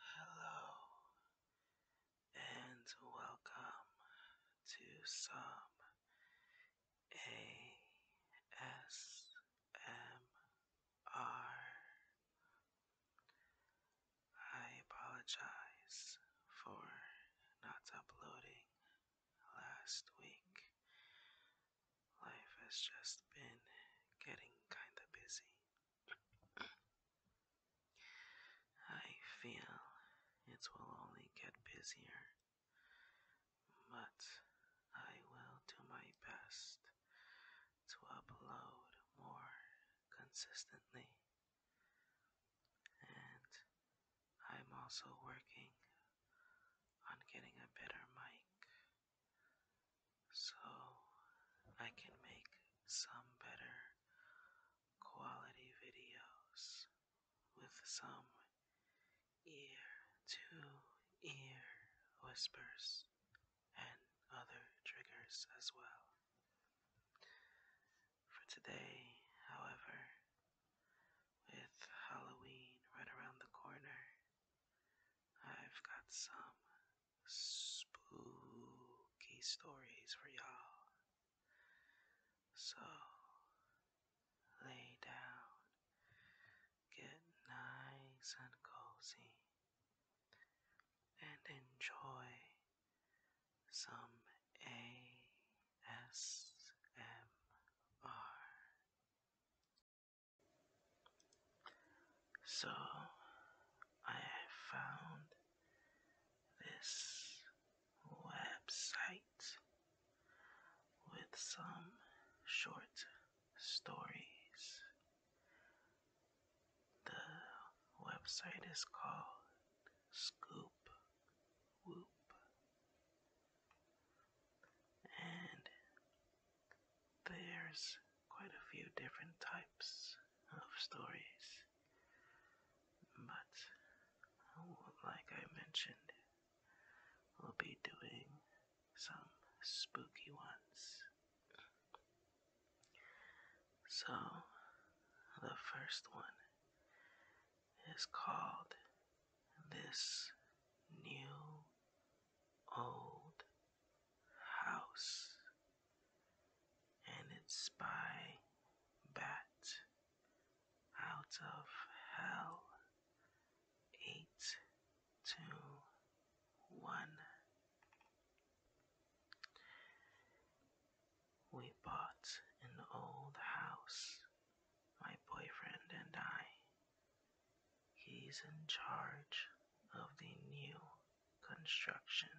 Hello and welcome to some ASMR. I apologize for not uploading last week. Life has just been getting kinda busy. I feel it will only get busier, but I will do my best to upload more consistently. And I'm also working on getting a better mic so I can make some better quality videos with some ear to ear whispers and other triggers as well. For today, however, with Halloween right around the corner, I've got some spooky stories for y'all. So, lay down, get nice and cozy, and enjoy some ASMR. So I found this website with some short stories. The website is called Scoop Whoop, and there's quite a few different types of stories, but like I mentioned, we'll be doing some spooky ones. So, the first one is called This New old house and it's by bat out of hell eight two one we bought an old house my boyfriend and i he's in charge of the new construction,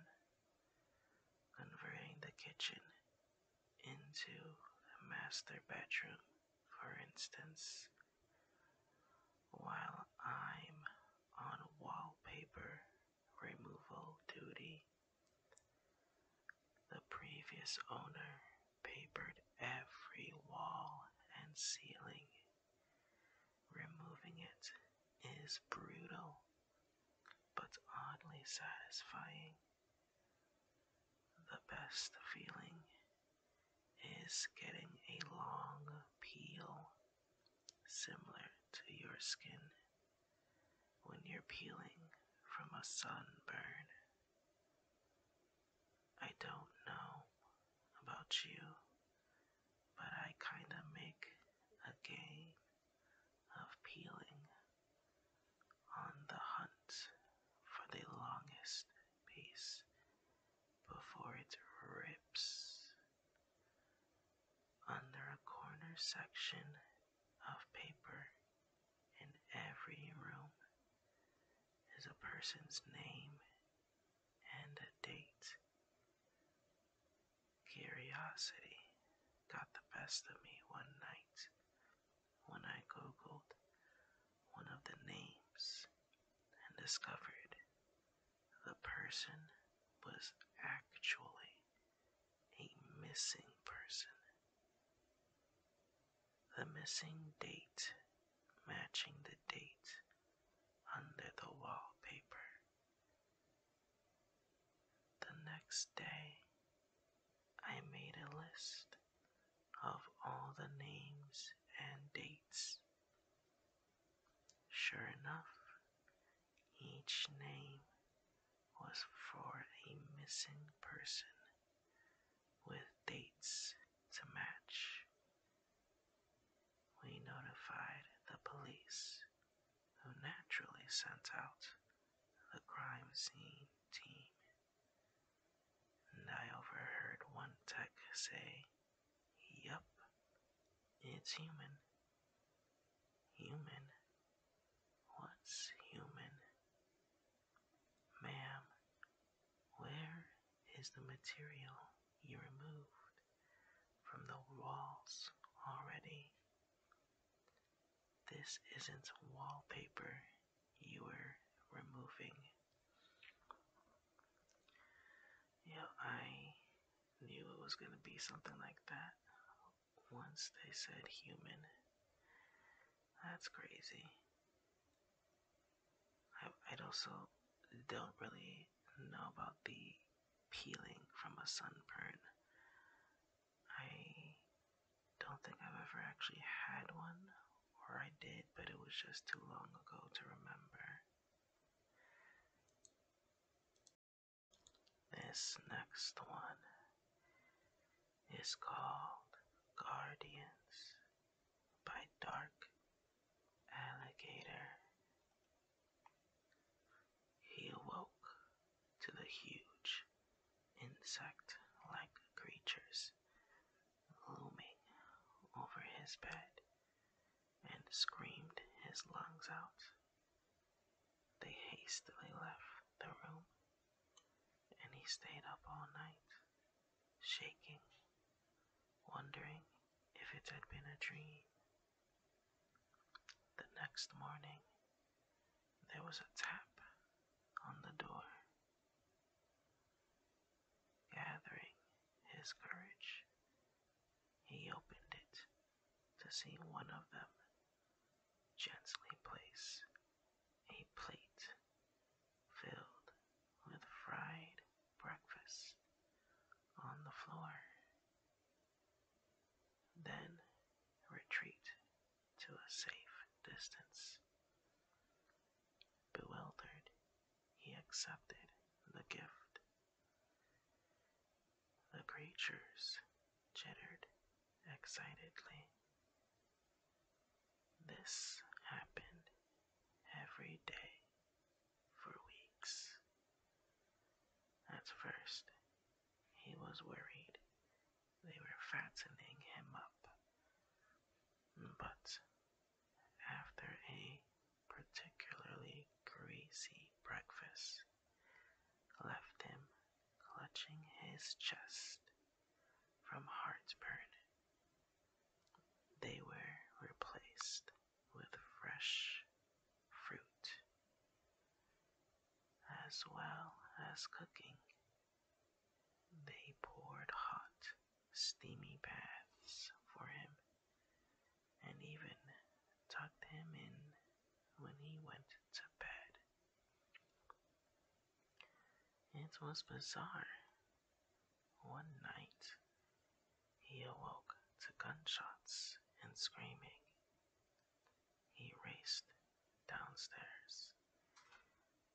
converting the kitchen into a master bedroom, for instance, while I'm on wallpaper removal duty. The previous owner papered every wall and ceiling Removing it is brutal, but oddly satisfying. The best feeling is getting a long peel, similar to your skin when you're peeling from a sunburn. I don't know about you, but I kind of make a game of peeling on the hunt for the longest piece before it rips. Under a corner section of paper in every room is a person's name and a date. Curiosity got the best of me one night when I googled one of the names and discovered the person was actually a missing person. The missing date matching the date under the wallpaper. The next day, I made a list of all the names and dates. Sure enough, each name was for a missing person with dates to match we notified the police, who naturally sent out the crime scene team. And I overheard one tech say, Yup, it's human. Human? What's human? Ma'am, where is the material you removed? from the walls already. This isn't wallpaper you were removing. Yeah, I knew it was gonna be something like that once they said human. That's crazy. I, would also don't really know about the peeling from a sunburn. I don't think I've ever actually had one, or I did, but it was just too long ago to remember. This next one is called Guardians by Dark alligator. He awoke to the huge insect like creatures looming over his bed and screamed his lungs out. They hastily left the room, and he stayed up all night, shaking, wondering if it had been a dream. The next morning, there was a tap on the door. Gathering his courage, he opened it to see one of them gently place a plate filled with fried breakfast on the floor. Then retreat to a safe distance. Bewildered, he accepted the gift. The creatures jittered excitedly. This happened every day for weeks. At first, he was worried they were fattening him up. But after a particularly greasy breakfast left him clutching his chest from heartburn, they were replaced with fresh fruit, as well as cooking. They poured hot, steamy baths for him, and even tucked him in when he went to bed. It was bizarre. One night, he awoke to gunshots and screaming. He raced downstairs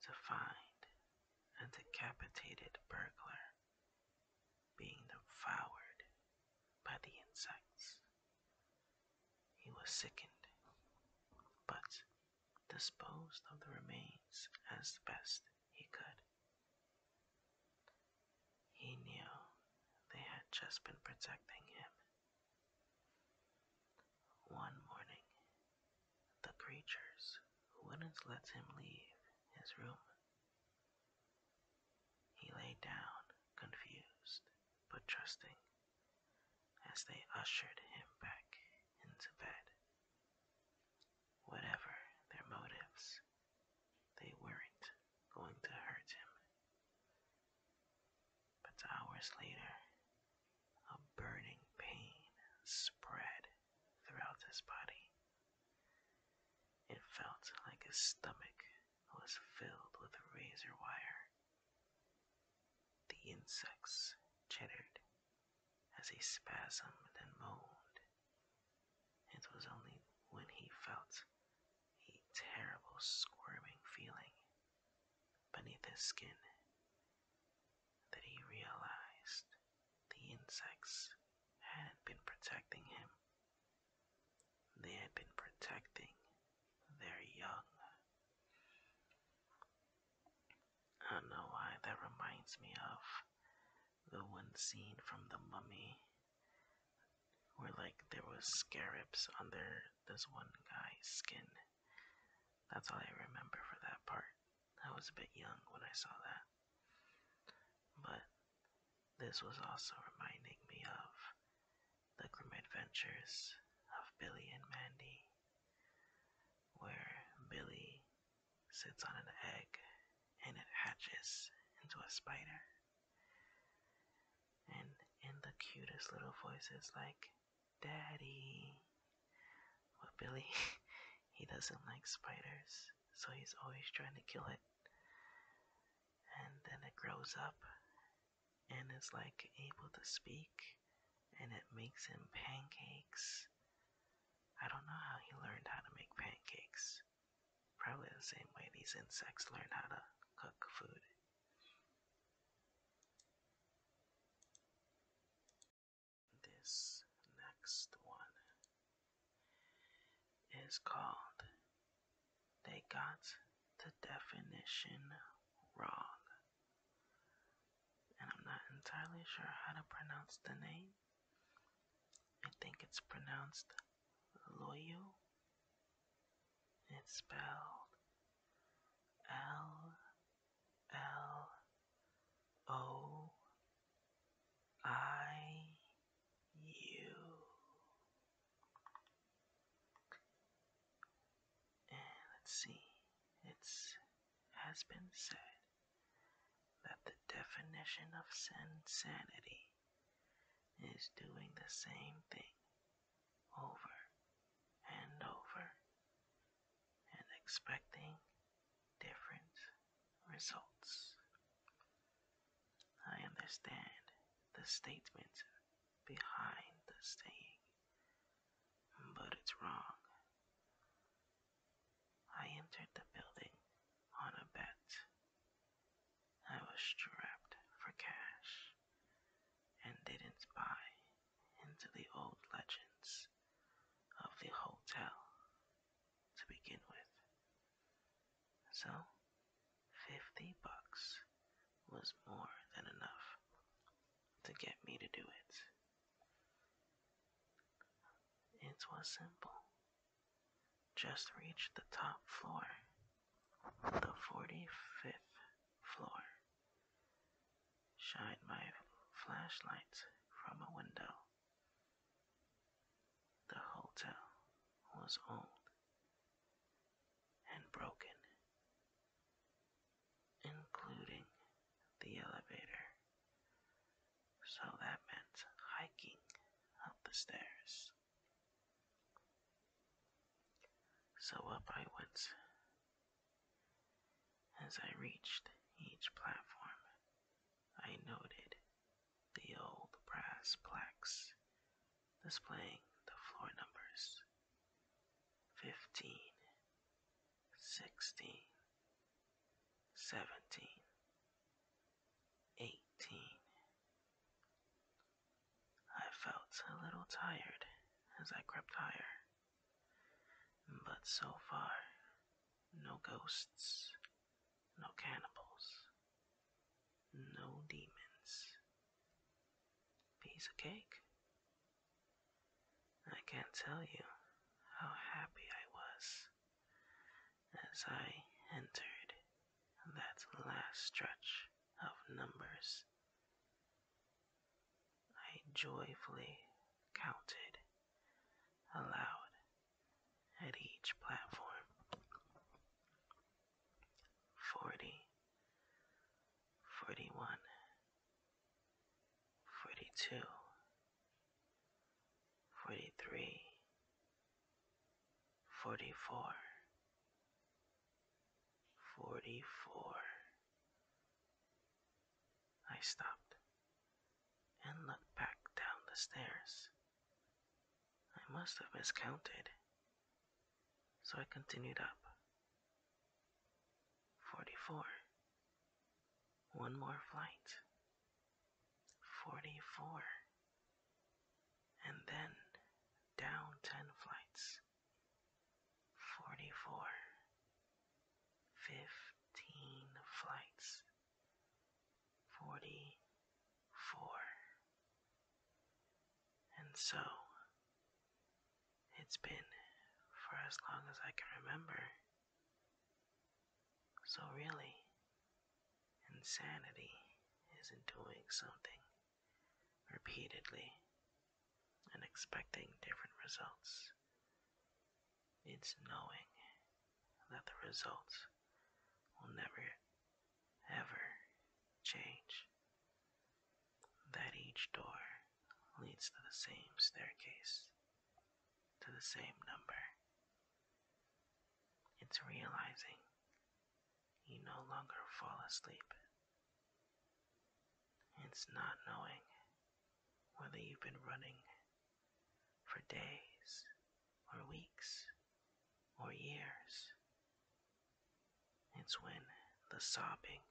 to find a decapitated burglar being devoured by the insects. He was sickened, but disposed of the remains as best he could. He knew they had just been protecting him. One morning, the creatures wouldn't let him leave his room. He lay down, confused but trusting, as they ushered him back into bed. Whatever their motives, they weren't going to hurt him. But hours later, a burning pain spread throughout his body. It felt like his stomach was filled with razor wire. The insects chittered as he spasmed and moaned it was only when he felt a terrible squirming feeling beneath his skin that he realized the insects hadn't been protecting him. They had been protecting their young. I don't know why that reminds me of the one seen from the mummy where like there was scarabs under this one guy's skin. That's all I remember for that part. I was a bit young when I saw that. But this was also reminding me of the grim adventures of Billy and Mandy, where Billy sits on an egg and it hatches into a spider and in the cutest little voices like daddy but billy he doesn't like spiders so he's always trying to kill it and then it grows up and is like able to speak and it makes him pancakes i don't know how he learned how to make pancakes Probably the same way these insects learn how to cook food. This next one is called They Got the Definition Wrong. And I'm not entirely sure how to pronounce the name. I think it's pronounced loyal. It's spelled L L O I U. And let's see, it's has been said that the definition of insanity is doing the same thing over and over and expecting different results. I understand the statement behind the saying, but it's wrong. I entered the building on a bet I was strapped for cash and didn't buy into the old legends of the hotel to begin with. So, 50 bucks was more than enough to get me to do it. It was simple just reached the top floor, the 45th floor. Shine my flashlight from a window. The hotel was old and broken, including the elevator, so that meant hiking up the stairs. So up I went. As I reached each platform, I noted the old brass plaques displaying the floor numbers 15, 16, 17, eighteen. I felt a little tired as I crept higher, but so far, no ghosts, no cannibals, no demons. Piece of cake. I can't tell you how happy I was as I entered that last stretch of numbers. I joyfully counted aloud at each platform. Forty, forty-one, forty-two, forty-three. 44 44 I stopped and looked back down the stairs. I must have miscounted, so I continued up. 44 One more flight. 44, and then down 10 flights. 44, 15 flights. 44. And so, it's been for as long as I can remember. So, really, Insanity is doing something repeatedly and expecting different results. It's knowing that the results will never, ever change. That each door leads to the same staircase, to the same number. It's realizing you no longer fall asleep. It's not knowing whether you've been running for days or weeks or years. It's when the sobbing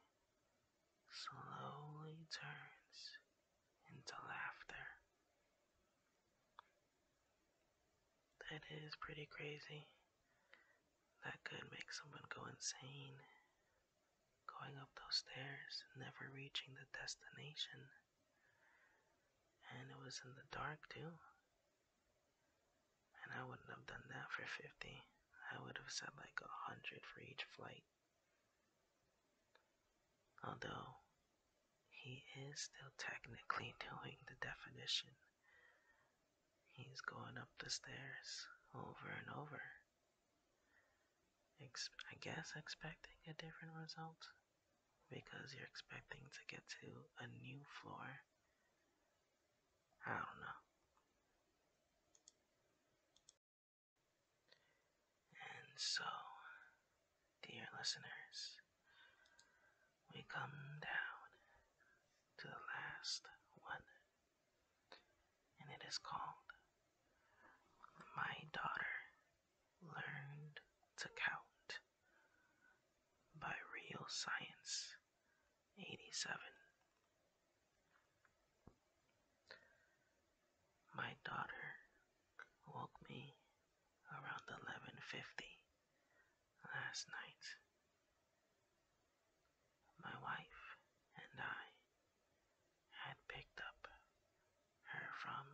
slowly turns into laughter. That is pretty crazy. That could make someone go insane. Going up those stairs, never reaching the destination. And it was in the dark, too. And I wouldn't have done that for 50. I would have said like a hundred for each flight. Although, he is still technically doing the definition. He's going up the stairs over and over. I guess expecting a different result because you're expecting to get to a new floor. I don't know. And so, dear listeners, we come down to the last one, and it is called My Daughter Learned to Count by Real Science 87. My daughter woke me around 11:50 Last night, my wife and I had picked up her from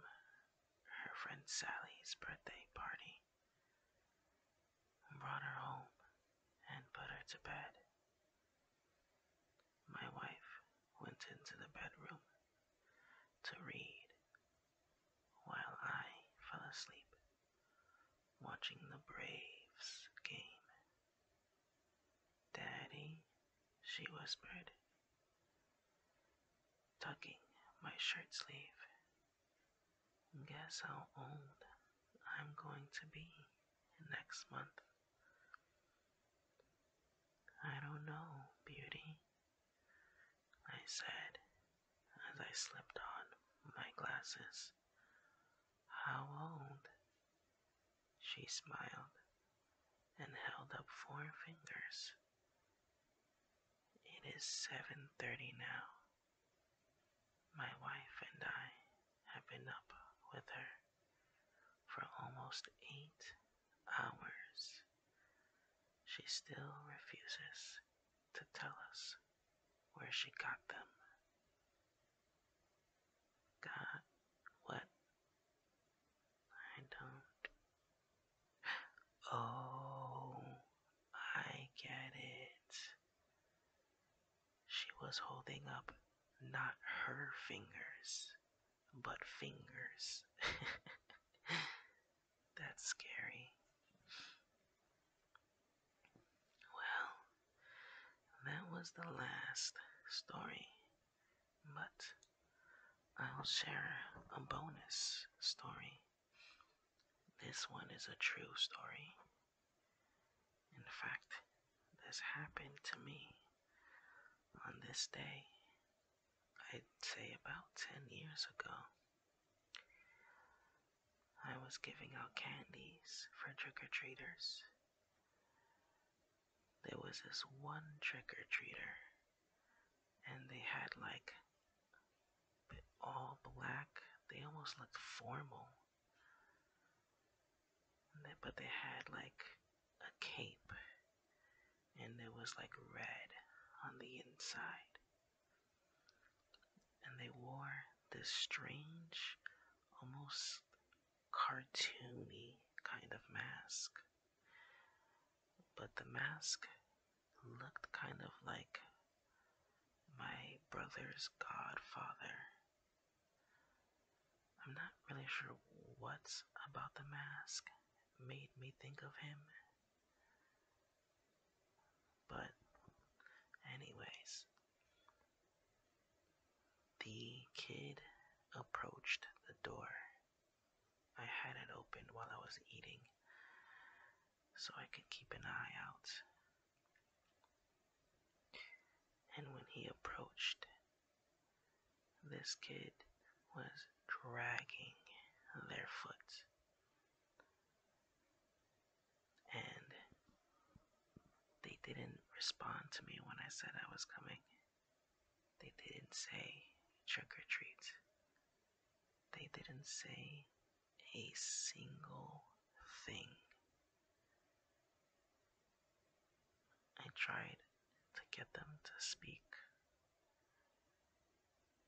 her friend Sally's birthday party, and brought her home, and put her to bed. My wife went into the bedroom to read while I fell asleep watching the Braves game. Daddy, she whispered, tucking my shirt sleeve. Guess how old I'm going to be next month. I don't know, beauty, I said as I slipped on my glasses. How old? She smiled and held up four fingers. It is 7:30 now. My wife and I have been up with her for almost 8 hours. She still refuses to tell us where she got them. Got what? I don't. Oh, I get it. She was holding up not her fingers, but fingers. That's scary. Well, that was the last story, but I'll share a bonus story. This one is a true story. In fact, this happened to me on this day, I'd say about 10 years ago. I was giving out candies for trick or treaters. There was this one trick or treater, and they had like all black. They almost looked formal. but they had like a cape, and it was like red on the inside. And they wore this strange, almost cartoony kind of mask. But the mask looked kind of like my brother's godfather. I'm not really sure what about the mask made me think of him but, anyways, the kid approached the door. I had it open while I was eating so I could keep an eye out. And when he approached, this kid was dragging their foot and they didn't respond to me when I said I was coming. They didn't say trick or treat. They didn't say a single thing. I tried to get them to speak,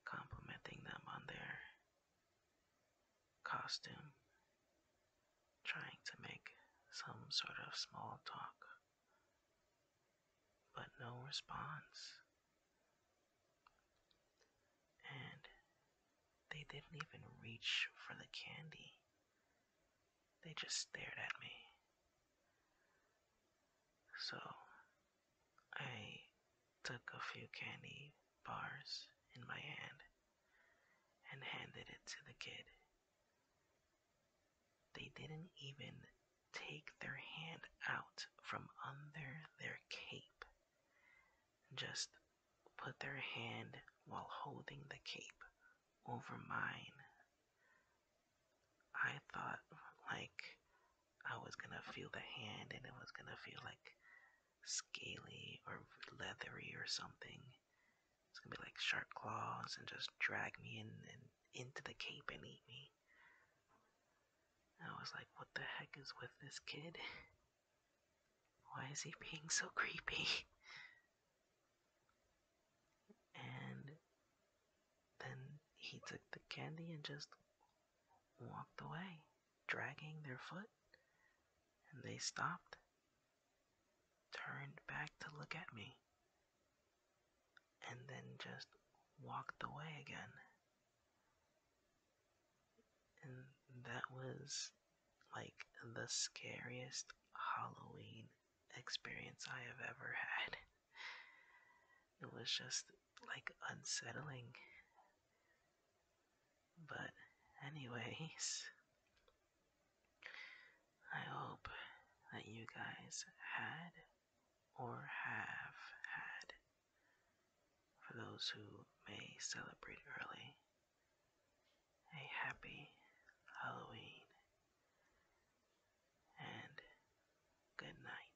complimenting them on their costume, trying to make some sort of small talk, but no response. And they didn't even reach for the candy. They just stared at me. So I took a few candy bars in my hand and handed it to the kid. They didn't even take their hand out from under their cape, just put their hand while holding the cape over mine. I thought, like, I was gonna feel the hand and it was gonna feel like scaly or leathery or something. It's gonna be like sharp claws and just drag me in and into the cape and eat me. I was like, what the heck is with this kid? Why is he being so creepy? And then he took the candy and just walked away dragging their foot, and they stopped, turned back to look at me, and then just walked away again. And that was like the scariest Halloween experience I have ever had. It was just like unsettling. But, anyways, I hope that you guys had or have had, for those who may celebrate early, a happy Halloween and good night.